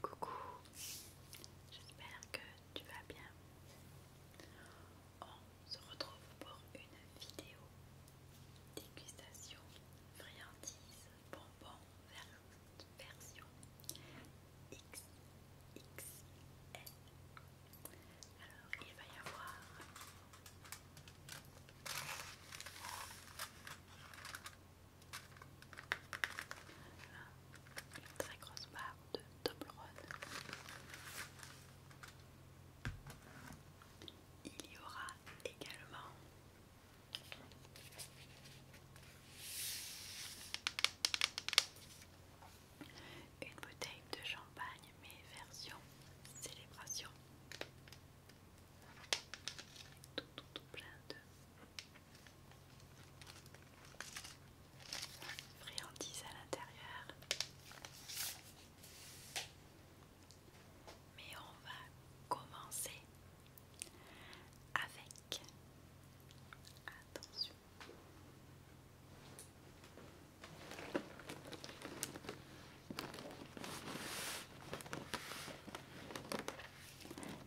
Coucou, j'espère que tu vas bien. On se retrouve pour une vidéo dégustation, friandise, bonbons, version XXL. Alors il va y avoir une très grosse barre de rose. Il y aura également une bouteille de champagne mais version célébration. Tout, plein de friandises à l'intérieur. Mais on va commencer avec attention.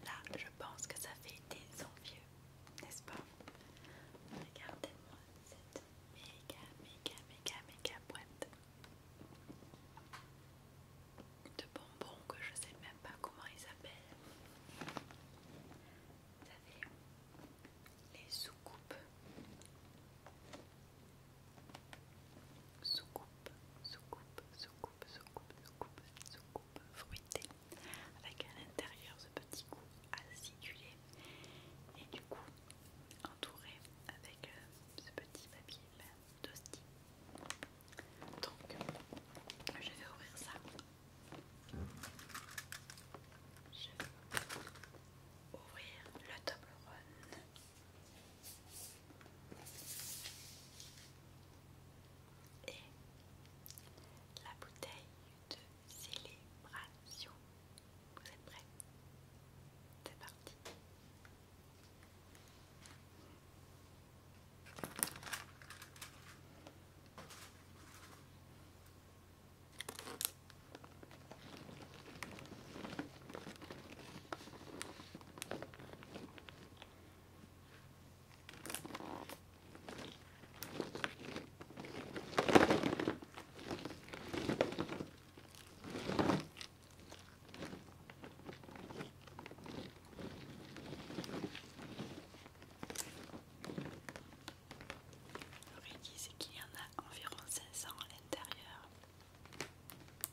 Là, je pense que ça fait des envieux, n'est-ce pas Regardez-moi cette méga, méga, méga, méga boîte de bonbons que je sais même pas comment ils s'appellent. Vous savez, les soucoupes. Soucoupes soucoupe, soucoupe, soucoupe, soucoupe, soucoupe, soucoupe fruitée avec à l'intérieur ce petit coup acidulé et du coup entouré avec euh, ce petit papier d'hostie. Ben, Donc je vais ouvrir ça. Je vais ouvrir le Toblerone et la bouteille de célébration. Vous êtes prêts C'est parti. Ils disent qu'il y en a environ 500 à l'intérieur.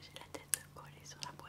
J'ai la tête collée sur la boîte.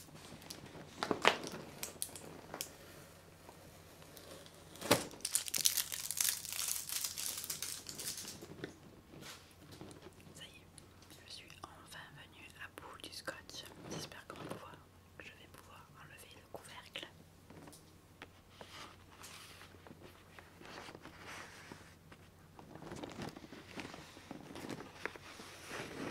Ça y est, je suis enfin venue à bout du scotch. J'espère qu'on que je vais pouvoir enlever le couvercle.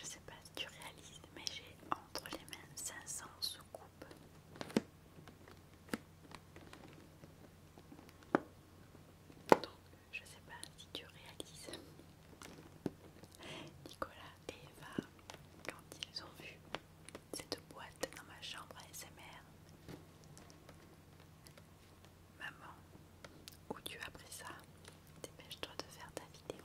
Je sais pas si tu réalises, mais j'ai entre les mains 500 soucoupes. Donc, je sais pas si tu réalises. Nicolas et Eva quand ils ont vu cette boîte dans ma chambre ASMR. Maman, où tu as pris ça Dépêche-toi de faire ta vidéo.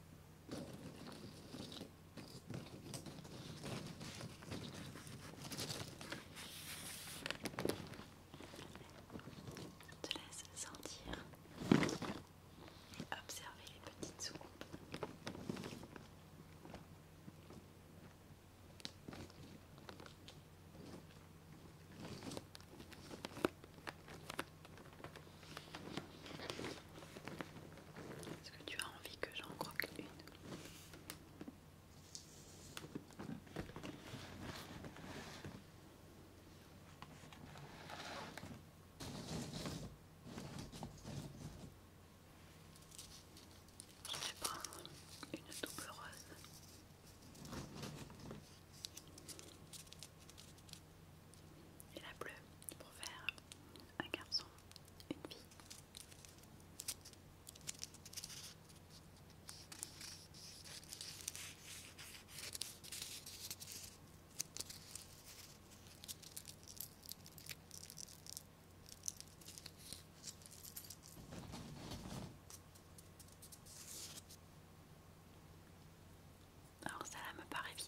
Je te laisse sentir et observer les petites soucoupes. Est-ce que tu as envie que j'en croque une je vais prendre une double rose et la bleue pour faire un garçon, une fille. Alors ça me paraît vide.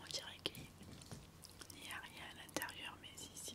On dirait qu'il n'y a rien à l'intérieur, mais ici,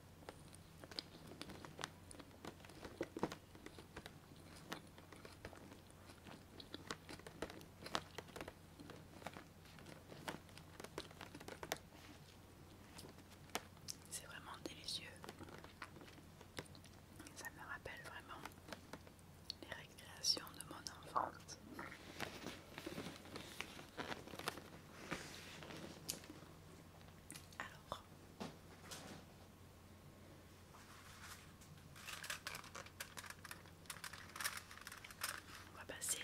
C'est vraiment délicieux. Ça me rappelle vraiment les récréations de mon enfance. Alors. On va passer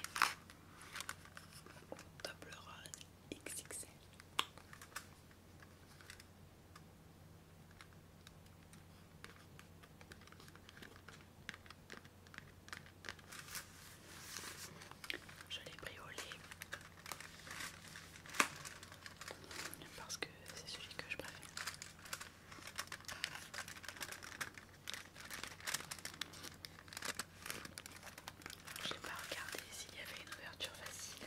au Toblerone XXL. Je l'ai pris parce que c'est celui que je préfère. Je n'ai pas regardé s'il y avait une ouverture facile.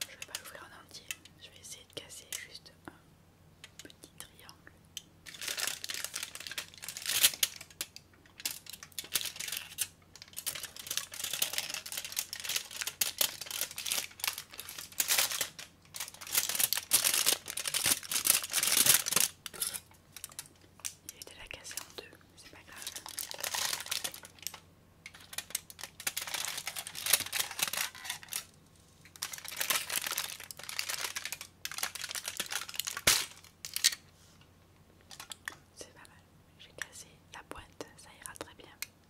Je vais pas l'ouvrir en entier, je vais essayer de casser juste un petit triangle. Il été la casser en deux, c'est pas grave. C'est pas mal. J'ai cassé la pointe, ça ira très bien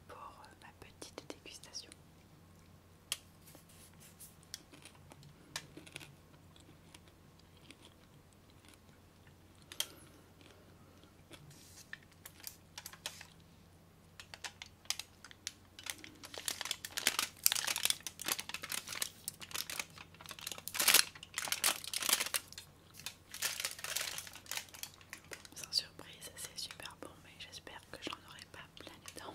pour euh, ma petite dégustation. Sans surprise, c'est super bon, mais j'espère que j'en aurai pas plein les dents.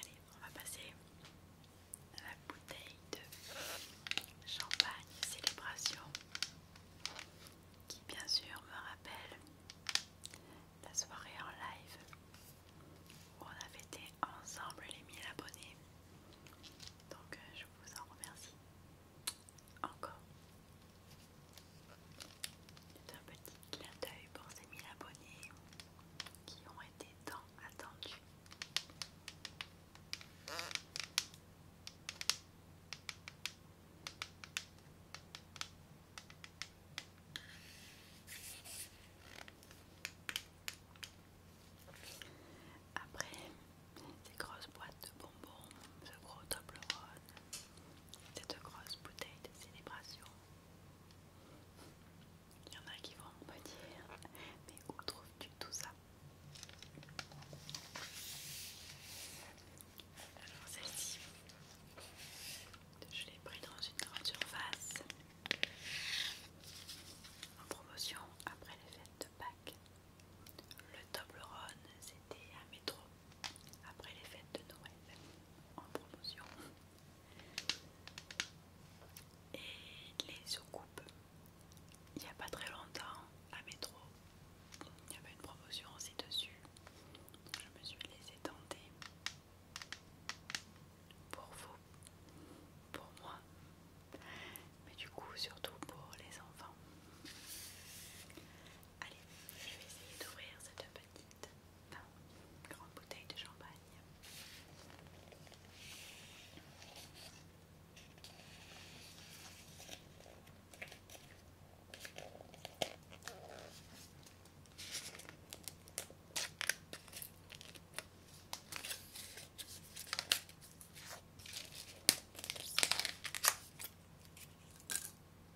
Allez, on va passer à la bouteille de champagne célébration qui bien sûr me rappelle la soirée en live où on avait été ensemble les 1000 abonnés. Donc euh, je vous en remercie encore c'est un petit clin d'œil pour ces 1000 abonnés qui ont été tant attendus. Après ces grosses boîtes de bonbons, ce gros Toblerone, cette grosse bouteille de célébration, il y en a qui vont me dire, mais où trouves-tu tout ça Alors celle-ci, je l'ai pris dans une grande surface en promotion après les fêtes de Pâques. Le Toblerone, c'était à métro après les fêtes de Noël en promotion. Et les soucoupes, il n'y a pas très longtemps à métro, il y avait une promotion aussi dessus. je me suis laissée tenter pour vous, pour moi, mais du coup surtout pour les enfants. Allez, je vais essayer d'ouvrir cette petite grande bouteille de champagne.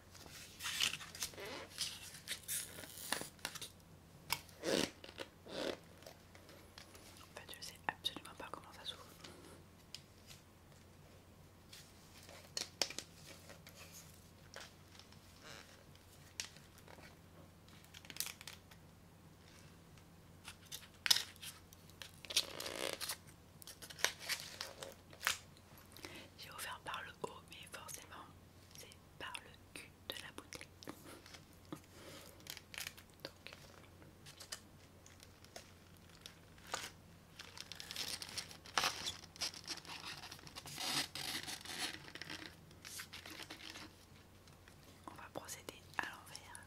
En fait, je sais absolument pas comment ça s'ouvre. J'ai offert par le haut, mais forcément, c'est par le cul de la bouteille. On va procéder à l'envers.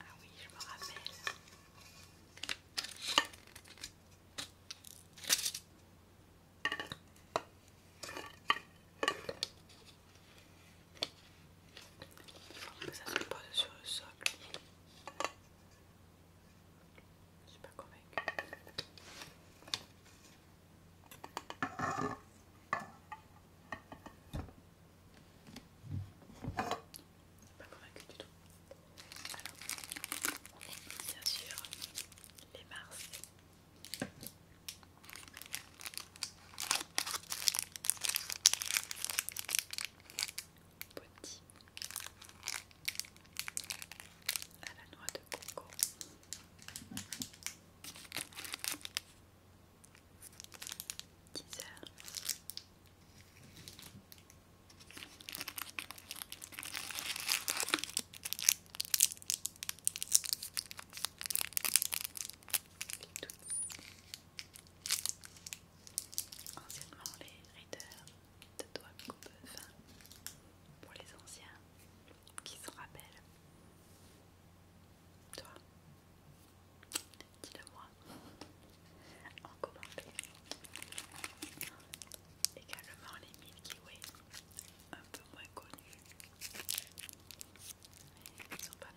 Ah oui, je me rappelle. Il faut que ça se pose sur le socle. Je suis pas convaincue. Pas convaincu du tout. Alors, bien sûr, les Mars. Petit à la noix de coco. 10 heures. Anciennement, les readers de doigts coupe fin pour les anciens qui se rappellent. Toi Dis-le moi en commentaire. Également les mille kiwis, un peu moins connus, mais ils sont pas mal.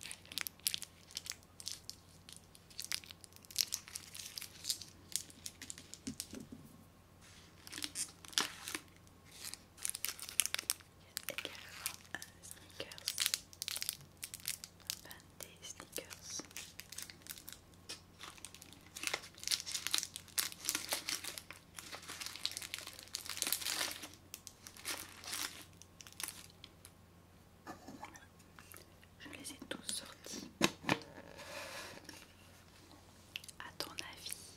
Il y a également un sneakers. des sneakers. Je les ai tous sortis. À ton avis,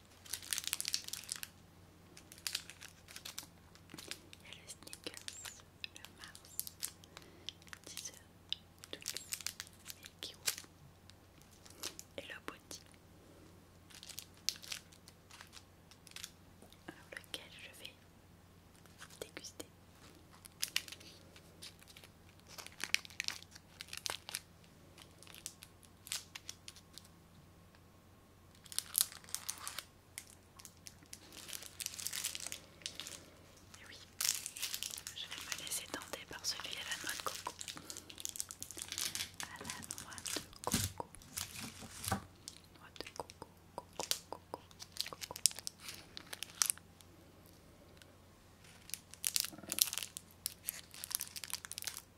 Il y a le Snickers, le Mars, Deezer, Twix le Kiwi et le Body. Alors lequel je vais déguster. Eh oui, je vais me laisser tenter par celui à la noix de coco.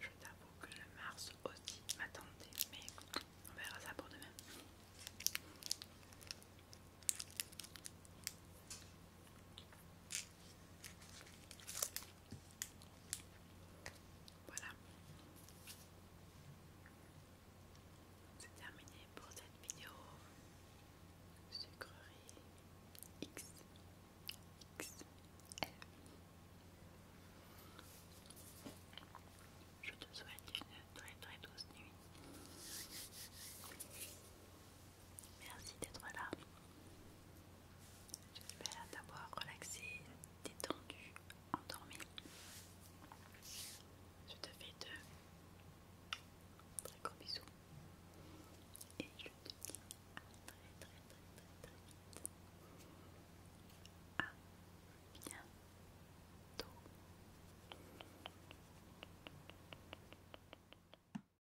Je t'avoue que le Mars aussi m'attendait, mais on verra ça pour demain. Voilà. C'est terminé pour cette vidéo sucrerie X Je te souhaite une très très douce nuit. Merci d'être là. J'espère t'avoir relaxé, détendu, endormi. Je te fais de très gros bisous. Et je te dis à très très très très vite. bientôt.